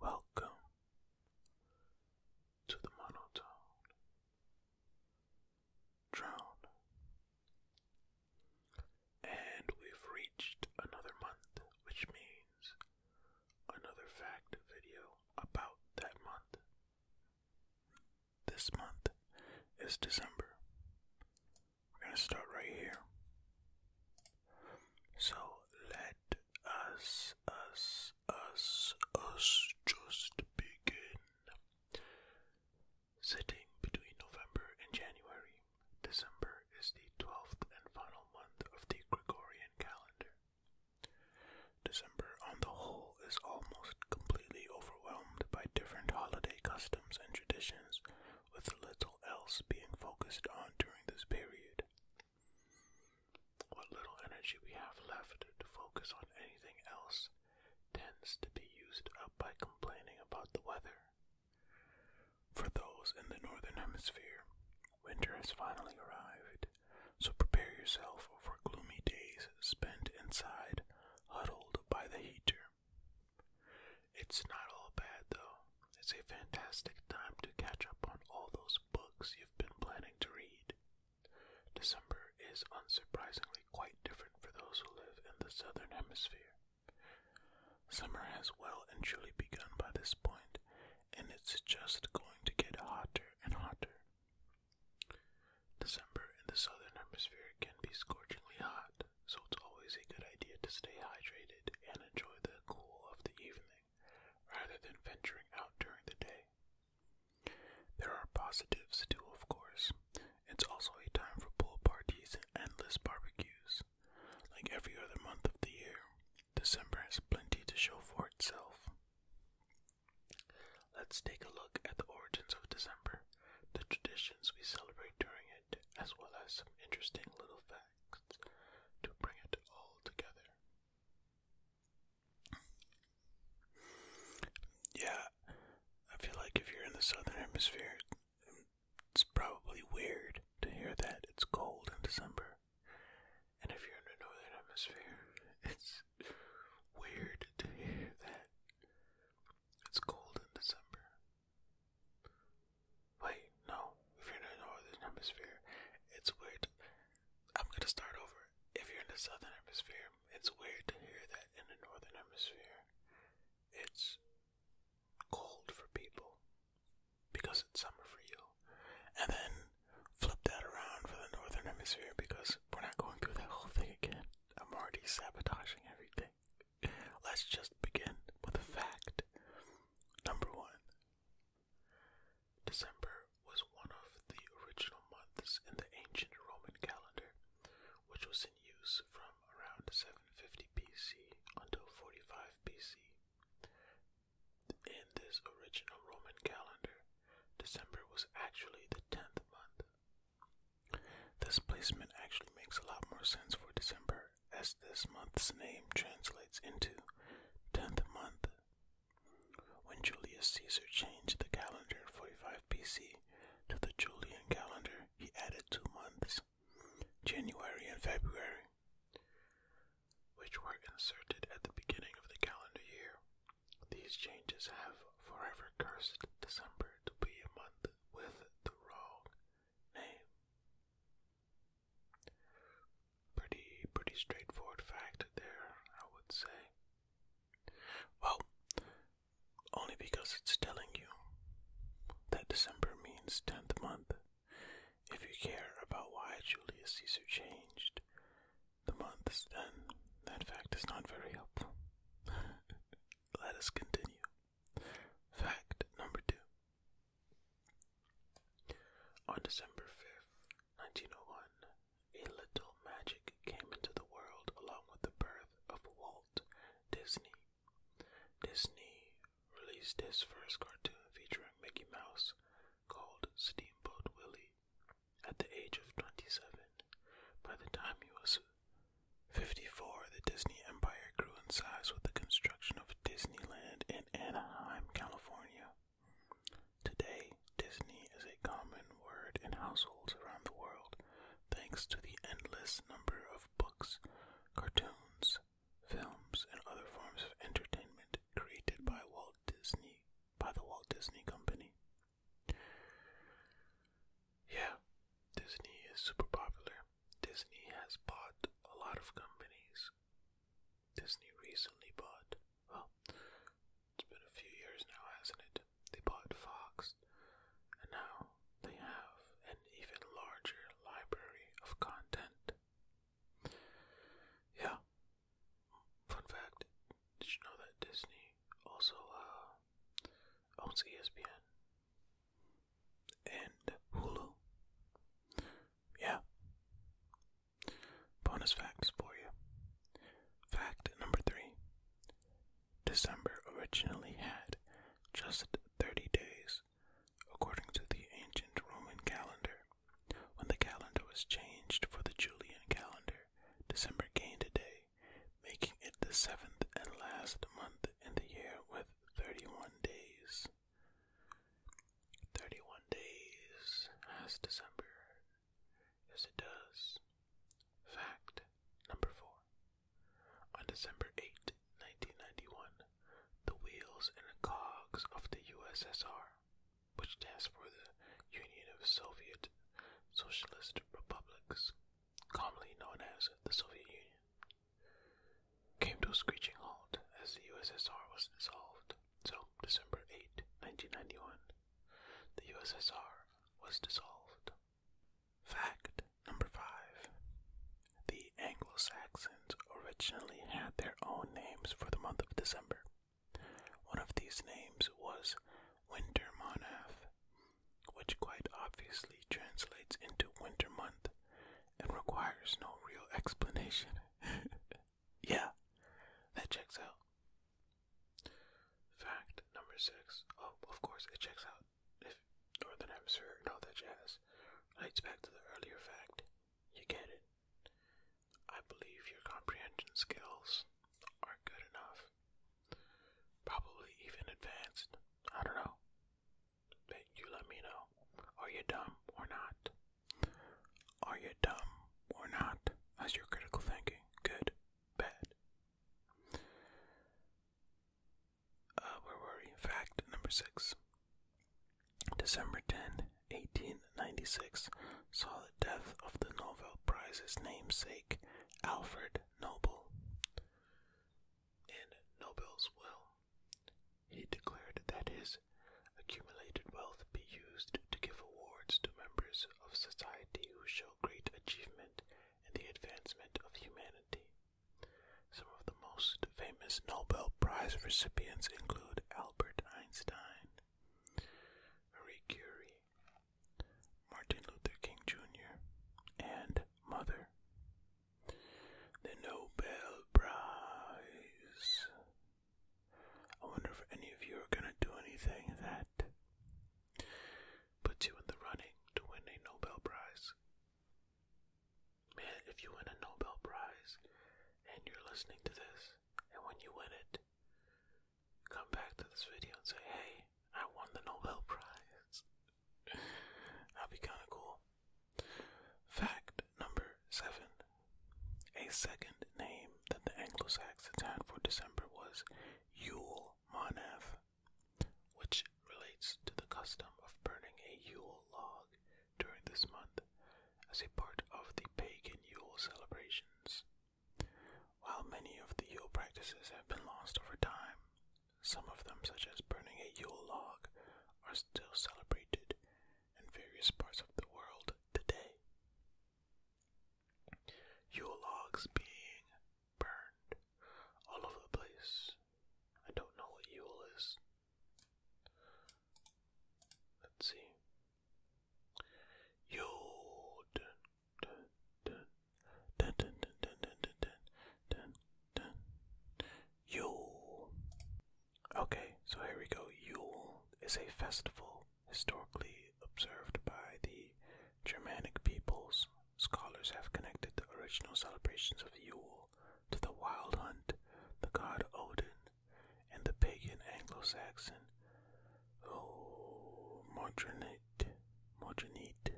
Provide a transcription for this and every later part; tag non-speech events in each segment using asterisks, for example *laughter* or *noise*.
Welcome to the monotone drown, and we've reached another month, which means another fact video about that month. This month is December. We're going to start right here. So let us, us, us, us just begin. Sitting between November and January, December is the 12th and final month of the Gregorian calendar. December, on the whole, is almost completely overwhelmed by different holiday customs and traditions, with little else being focused on during this period. What little energy we have left to focus on anything else tends to be used up by complaining about the weather for those in the northern hemisphere, winter has finally arrived, so prepare yourself for gloomy days spent inside, huddled by the heater. It's not all bad, though. It's a fantastic time to catch up on all those books you've been planning to read. December is unsurprisingly quite different for those who live in the southern hemisphere. Summer has well and truly begun by this point, and it's just going to get hotter and hotter. December in the southern hemisphere can be scorchingly hot, so it's always a good idea to stay hydrated and enjoy the cool of the evening rather than venturing out during the day. There are positives too, of course. It's also a time for pool parties and endless barbecues. Like every other month of the year, December has plenty to show for itself. Let's take a look at the origins of December, the traditions we celebrate during it, as well as some interesting little facts to bring it all together. Yeah, I feel like if you're in the southern hemisphere, it's probably weird to hear that it's cold in December. And if you're in the northern hemisphere, *laughs* it's weird to hear that it's cold in December. Wait, no. If you're in the northern hemisphere, it's weird. I'm gonna start over. If you're in the southern hemisphere, it's weird to hear that in the northern hemisphere, it's cold for people because it's summer for you, and then flip that around for the northern hemisphere because we're not going through that whole thing again. I'm already sabotaging everything. Let's just begin with the fact. Number one December was one of the original months in the ancient Roman calendar, which was in use from around 7 50 BC until 45 BC. In this original Roman calendar, December was actually the 10th month. This placement actually makes a lot more sense for December as this month's name translates into 10th month. When Julius Caesar changed the calendar in 45 BC to the Julian calendar, he added two months January and February, which were inserted at the beginning of the calendar year. These changes have forever cursed December to be a month with the wrong name. Pretty, pretty straightforward fact there, I would say. Well, only because it's telling you that December means tenth month if you care about why Julius Caesar changed the months, then that fact is not very helpful. *laughs* Let us continue. Fact number two. On December 5th, 1901, a little magic came into the world along with the birth of Walt Disney Disney released his first cartoon featuring Mickey Mouse called Steamboat Willie at the age of 27. By the time he was 54, the Disney empire grew in size with the construction of Disneyland in Anaheim, California. Today, Disney is a common word in households around the world thanks to the endless number of books, cartoons, shows, films, and other forms of entertainment created by Walt Disney by the Walt Disney Company. Yeah, Disney is super popular. Disney has bought a lot of companies. Disney recently bought, well, it's been a few years now, hasn't it? They bought Fox, and now they have an even larger library of content. Yeah. Fun fact, did you know that Disney also uh, owns ESPN and Hulu? Yeah. Bonus facts for you. Fact number three December originally had just 30 days, according to the ancient Roman calendar. When the calendar was changed for the Julian calendar, December gained a day, making it the seventh and last month in the year with 31 days. 31 days has December. Yes, it does. Fact number four. On December 8, 1991, the wheels and cogs of the USSR, which stands for the Union of Soviet Socialist Republics, commonly known as the Soviet Union, came to a screeching halt as the USSR was dissolved. So, December 8, 1991, the USSR was dissolved. Fact number five The Anglo Saxons originally had their own names for the month of December. One of these names was Winter Monath, which quite obviously translates into winter month and requires no real explanation. *laughs* yeah, that checks out. Fact number six: Oh, of course, it checks out if Northern Hemisphere and all that jazz relates back to the earlier fact. You get it. I believe your comprehension skills are good enough. Probably even advanced. I don't know. But you let me know. Are you dumb or not? Are you dumb or not? That's your critical thinking. Good, bad. Uh, Fact number six. December 10, 1896, saw the death of the Nobel Prize's namesake, Alfred Nobel. In Nobel's will, he declared that his accumulated wealth be used to give awards to members of society who show great achievement and the advancement of humanity. Some of the most famous Nobel Prize recipients include Albert Einstein, Marie Curie, Martin Luther King Jr., and Mother. The Nobel Prize. I wonder if any of you are going to do anything that puts you in the running to win a Nobel Prize. Man, if you win a Nobel Prize and you're listening to this, and when you win it, come back to this video and say, hey, I won the Nobel Prize. *laughs* That'd be kind of cool. Fact number seven. A second name that the Anglo Saxons had for December was Yule Moneth which relates to the custom of burning a Yule log during this month as a part of the pagan Yule celebrations. While many of the Yule practices have been lost over time, some of them, such as burning a Yule log, are still celebrated in various parts of the world today. Yule logs being burned all over the place. I don't know what Yule is. Let's see. Yule. Okay, so here we go. Yule is a festival historically observed by the Germanic peoples Scholars have connected the original celebrations of Yule to the Wild Hunt, the god Odin, and the pagan Anglo-Saxon oh, Modronite, Modronite.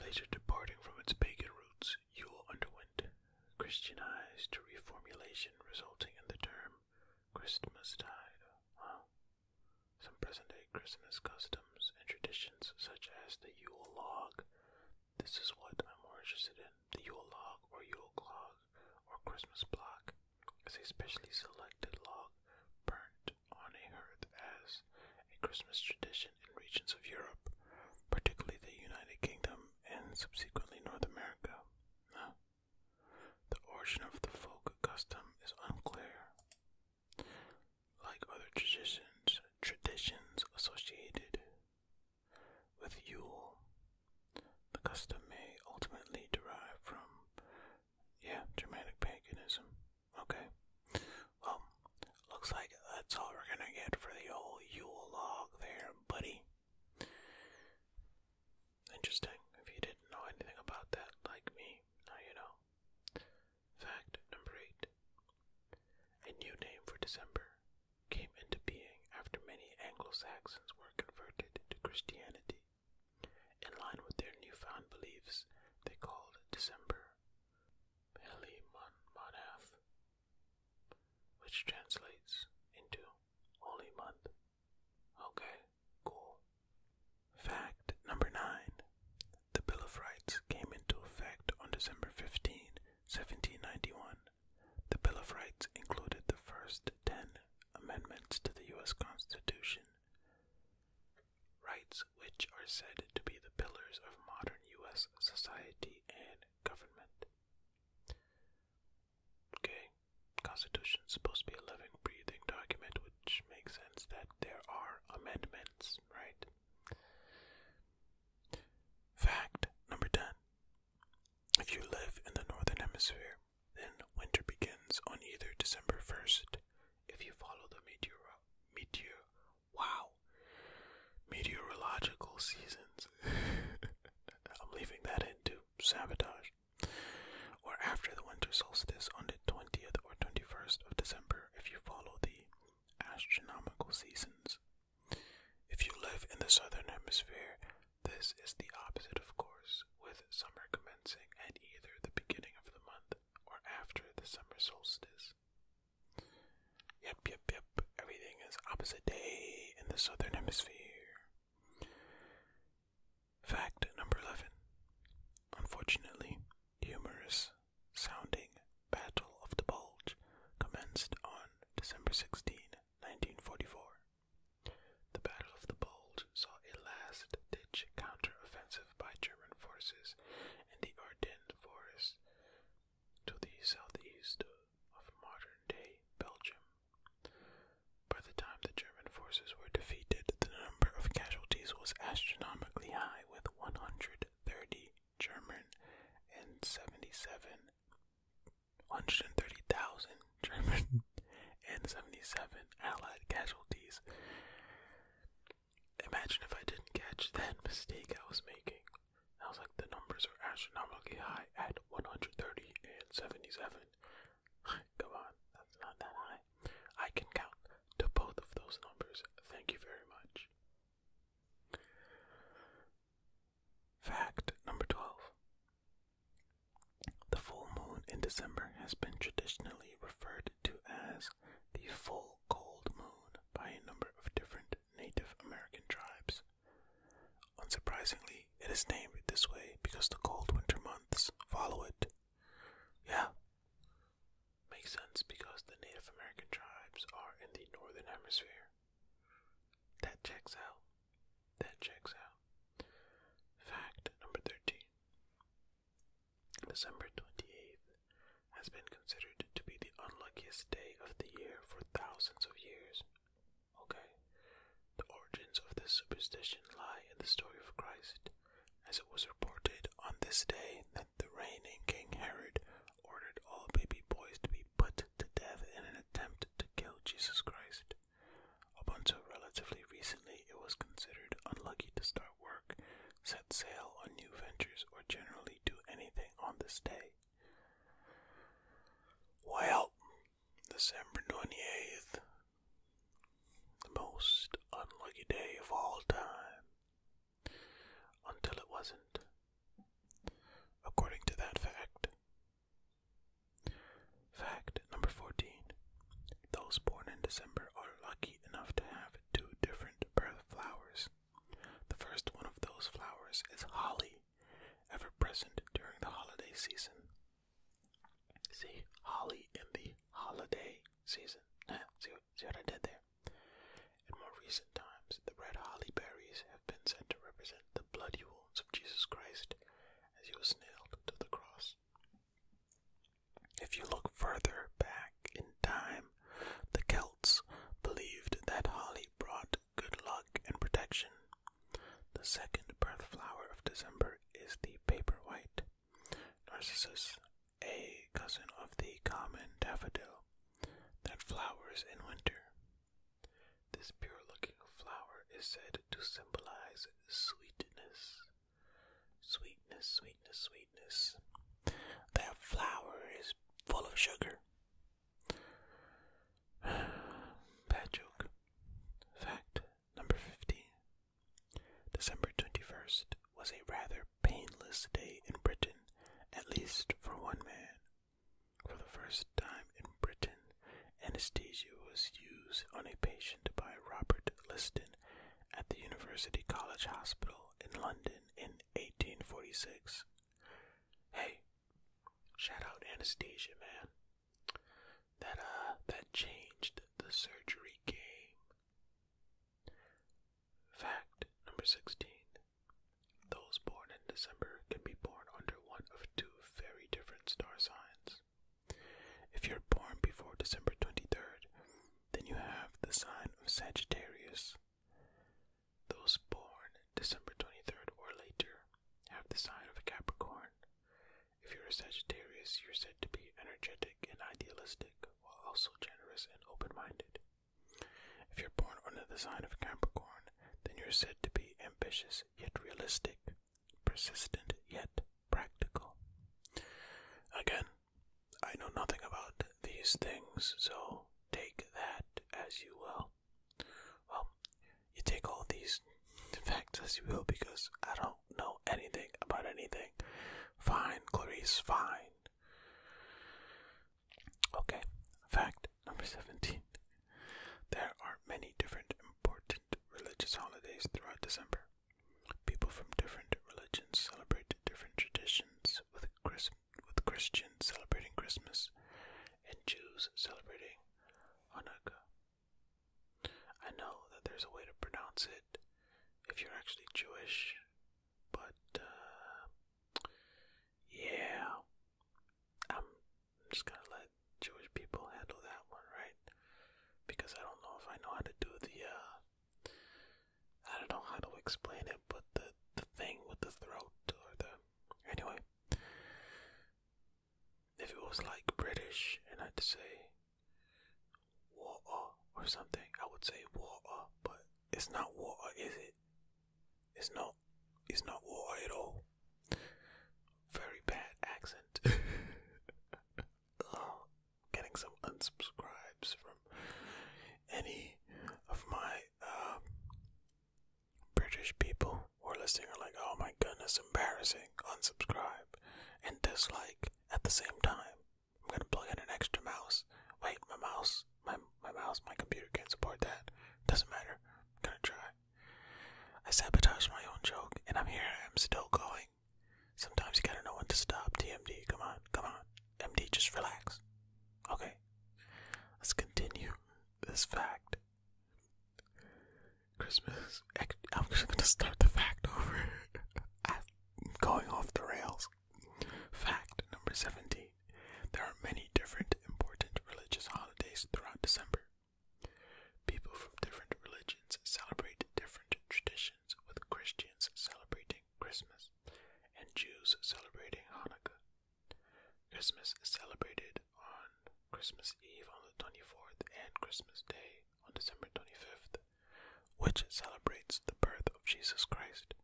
Later departing from its pagan roots, Yule underwent Christianized reformulation, resulting in the term Christmastide. Wow. Some present-day Christmas customs and traditions, such as the Yule log. This is what I'm more interested in. The Yule log, or Yule clog, or Christmas block, is a specially selected log burnt on a hearth as a Christmas tradition in regions of Europe, particularly the United Kingdom and subsequently North America. The origin of the folk custom is unclear. Like other traditions, traditions associated with Yule, the custom may ultimately derive from, yeah, Germanic paganism. Okay, well, looks like that's all we're gonna get for the old Yule log there, buddy. Interesting. If you didn't know anything about that, like me, now you know. Fact number eight A new name for December came into being after many Anglo Saxons were converted to Christianity. In line with their newfound beliefs, they called December Mon Monaf, which translates into Holy Month. Okay, cool. Fact number nine. The Bill of Rights came into effect on December 15, 1791. The Bill of Rights included the first ten amendments to the U.S. Constitution. Rights which are said to be the pillars of modern U.S. society and government. Okay, Constitution is supposed to be a living, breathing document, which makes sense that there are amendments, right? Fact number 10. If you live in the northern hemisphere, then winter begins on either December 1st if you follow the meteor meteor wow meteorological seasons. *laughs* I'm leaving that into sabotage or after the winter solstice on the 20th or 21st of December if you follow the astronomical seasons. If you live in the southern hemisphere, this is the opposite, of course, with summer commencing at either the beginning of the month or after the summer solstice. Yep, yep, yep, everything is opposite day in the southern hemisphere. Fact number 11. Unfortunately, humorous sounding Battle of the Bulge commenced on December 16, 1944. The Battle of the Bulge saw a last ditch counteroffensive by German forces in the Ardennes forest to the southeast of modern day Belgium. By the time the German forces were defeated, the number of casualties was astronomically high, with 130 German and 77 130,000 *laughs* German and 77 Allied casualties. Imagine if I didn't catch that mistake I was making. I was like, the numbers are astronomically high at 130 and 77. Come on, that's not that high. I can count to both of those numbers. Thank you very much. Fact number 12. The full moon in December has been traditionally referred to as the full cold moon by a number of different Native American tribes. Unsurprisingly, it is named this way because the cold winter months follow it. Yeah. Makes sense because the Native American tribes are in the northern hemisphere. That checks out. That checks out. Fact number 13 December 28th has been considered to be the unluckiest day of the year for thousands of years. Okay. The origins of this superstition lie in the story of Christ, as it was reported on this day that the reigning King Herod ordered all baby boys to be put to death in an attempt to kill Jesus Christ. Up until relatively recently, it was considered unlucky to start work, set sail on new ventures, or generally do anything on this day. Well, December 28th, the most unlucky day of all time. Until it wasn't, according to that fact. Fact number 14 Those born in December are lucky enough to have two different birth flowers. The first one of those flowers is holly, ever present during the holiday season. See, holly in the holiday season. see, what, see what I did there? In more recent times, the red holly berries have been sent to represent the bloody wounds of Jesus Christ as he was nailed to the cross. If you look further back in time, the Celts believed that holly brought good luck and protection. The second birth flower of December is the paper white, Narcissus, a cousin of the common daffodil that flowers in winter. This pure looking flower is said to symbolize sweetness. Sweetness, sweetness, sweetness. That flower is full of sugar. *sighs* Bad joke. Fact number 15. December 21st was a rather painless day in Britain, at least for one man. For the first time in Britain, anesthesia was used on a patient by Robert Liston at the University College Hospital in London in 1846. Hey, shout out anesthesia, man that uh that changed the surgery game. Fact number 16. Those born in December can be born under one of two very different star signs. If you're born before December 23rd, then you have the sign of Sagittarius. Those born December 23rd or later, have the sign of a Capricorn. If you're a Sagittarius, you're said to be energetic and idealistic, while also generous and open minded. If you're born under the sign of Capricorn, then you're said to be ambitious yet realistic, persistent yet practical. Again, I know nothing about these things, so take that as you will. Well, you take all these *laughs* facts as you will because I don't know anything about anything. Fine, Clarice, fine. Okay, fact number 17. There are many different important religious holidays throughout December. People from different religions celebrate different traditions, with, Chris with Christians celebrating Christmas, and Jews celebrating Hanukkah. I know that there's a way to pronounce it if you're actually Jewish, but uh, yeah, I'm just gonna let Jewish people handle that one, right? Because I don't know if I know how to do the uh, I don't know how to explain it, but the the thing with the throat or the anyway. If it was like British and I had to say water or something, I would say water, but it's not water, is it? It's not. It's not water at all. Very bad accent. *laughs* getting some unsubscribes from any of my um, British people who are listening are like, oh my goodness, embarrassing, unsubscribe, and dislike at the same time. I'm gonna plug in an extra mouse. Wait, my mouse, my, my mouse, my computer can't support that. Doesn't matter. I'm gonna try. I sabotage my own joke, and I'm here, I'm still going. Sometimes you gotta know when to stop, TMD. Come on, come on. MD, just relax. Okay. Let's continue this fact. Christmas. I'm just gonna start the fact over. *laughs* I'm going off the rails. Fact number 17. There are many different important religious holidays throughout December. People from different religions celebrate different traditions, with Christians celebrating Christmas and Jews celebrating Hanukkah. Christmas is celebrated on Christmas Eve on the 24th and Christmas Day on December 25th, which celebrates the birth of Jesus Christ.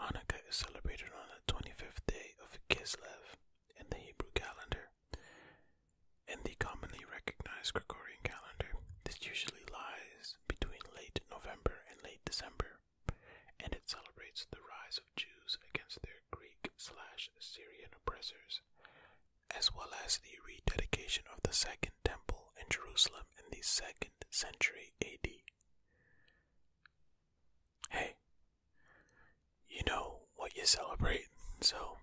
Hanukkah is celebrated on the 25th day of Kislev in the Hebrew calendar. In the commonly recognized Gregorian calendar, this usually lies between late November and late December and it celebrates the rise of Jews against their Greek slash Syrian oppressors, as well as the rededication of the Second Temple in Jerusalem in the second century AD. Hey, you know what you celebrate, so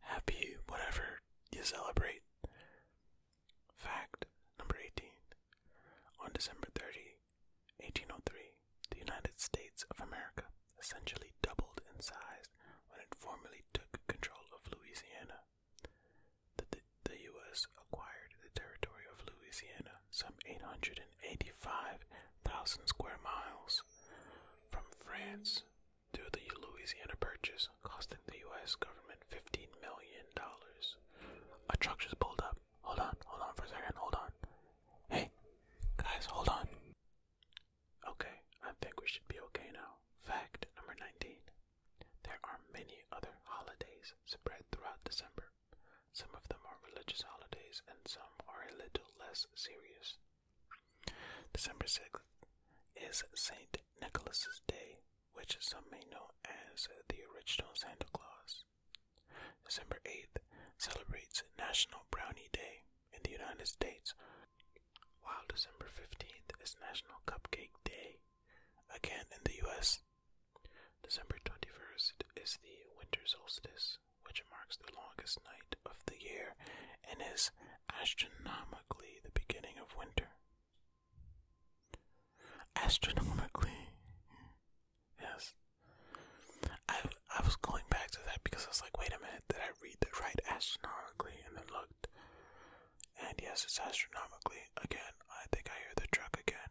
happy whatever you celebrate. Fact number 18. On December 30, 1803, the United States of America essentially doubled in size when it formally took control of Louisiana. The, U.S. acquired the territory of Louisiana, some 885,000 square miles, from France through the Louisiana Purchase, costing the U.S. government $15 million. A truck just pulled up. Hold on, hold on for a second, hold on. Hey, guys, hold on. Okay, I think we should be okay now. Fact number 19. There are many other holidays spread throughout December. Some of them are religious holidays and some are a little less serious. December 6th is St. Nicholas's Day, which some may know as the original Santa Claus. December 8th celebrates National Brownie Day in the United States, while December 15th is National Cupcake Day, again in the US. December 21st is the winter solstice, which marks the longest night of the year and is astronomically the beginning of winter. Astronomically. Yes. I I was going back to that because I was like, wait a minute, did I read that right astronomically? And then looked. And yes, it's astronomically. Again, I think I hear the truck again.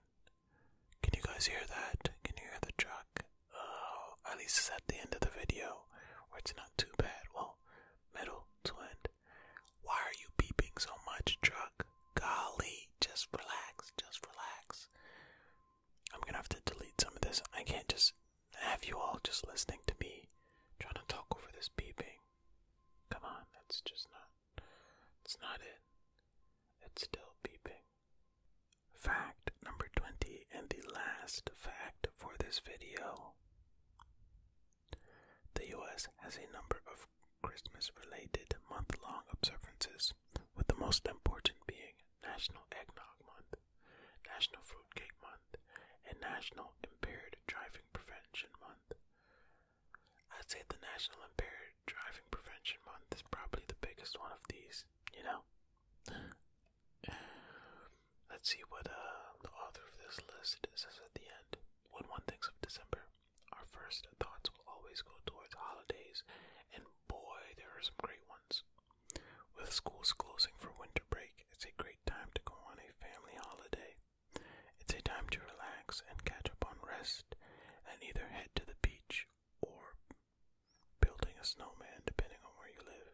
Can you guys hear that? Can you hear the truck? Oh, at least it's at the end of the video where it's not too bad. Well, middle to end. Why are you beeping so much, truck? Golly, just relax, just relax. I'm gonna have to delete some of this. I can't just have you all just listening to me trying to talk over this beeping. Come on, that's just not. It's not it. It's still beeping. Fact number 20, and the last fact for this video. The US has a number of Christmas related month long observances, with the most important being National Eggnog Month, National Fruitcake Month, and National Impaired Driving Prevention Month. I'd say the National Impaired Driving Prevention Month is probably the biggest one of these, you know? Let's see what uh, the author of this list says at the end. When one thinks of December, our first thoughts will always go towards holidays, and boy, there are some great ones. With schools closing for winter break, it's a great time to go on a family holiday. It's a time to relax and catch up on rest, and either head to the beach or building a snowman, depending on where you live.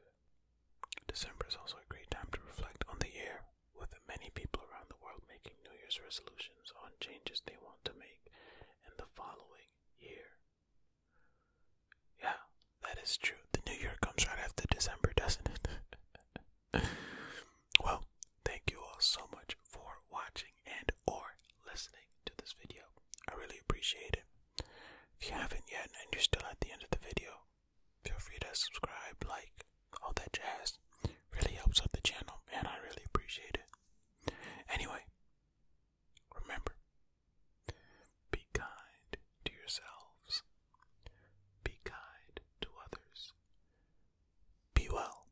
December is also a great time to reflect on the year with many people around the world making New Year's resolutions on changes they want to make in the following year. Yeah, that is true. The new year comes right after December, doesn't it? *laughs* well, thank you all so much for watching and or listening to this video. I really appreciate it. If you haven't yet and you're still at the end of the video, feel free to subscribe, like, all that jazz. Really helps out the channel, and I really appreciate it. Anyway, remember be kind to yourselves, be kind to others, be well.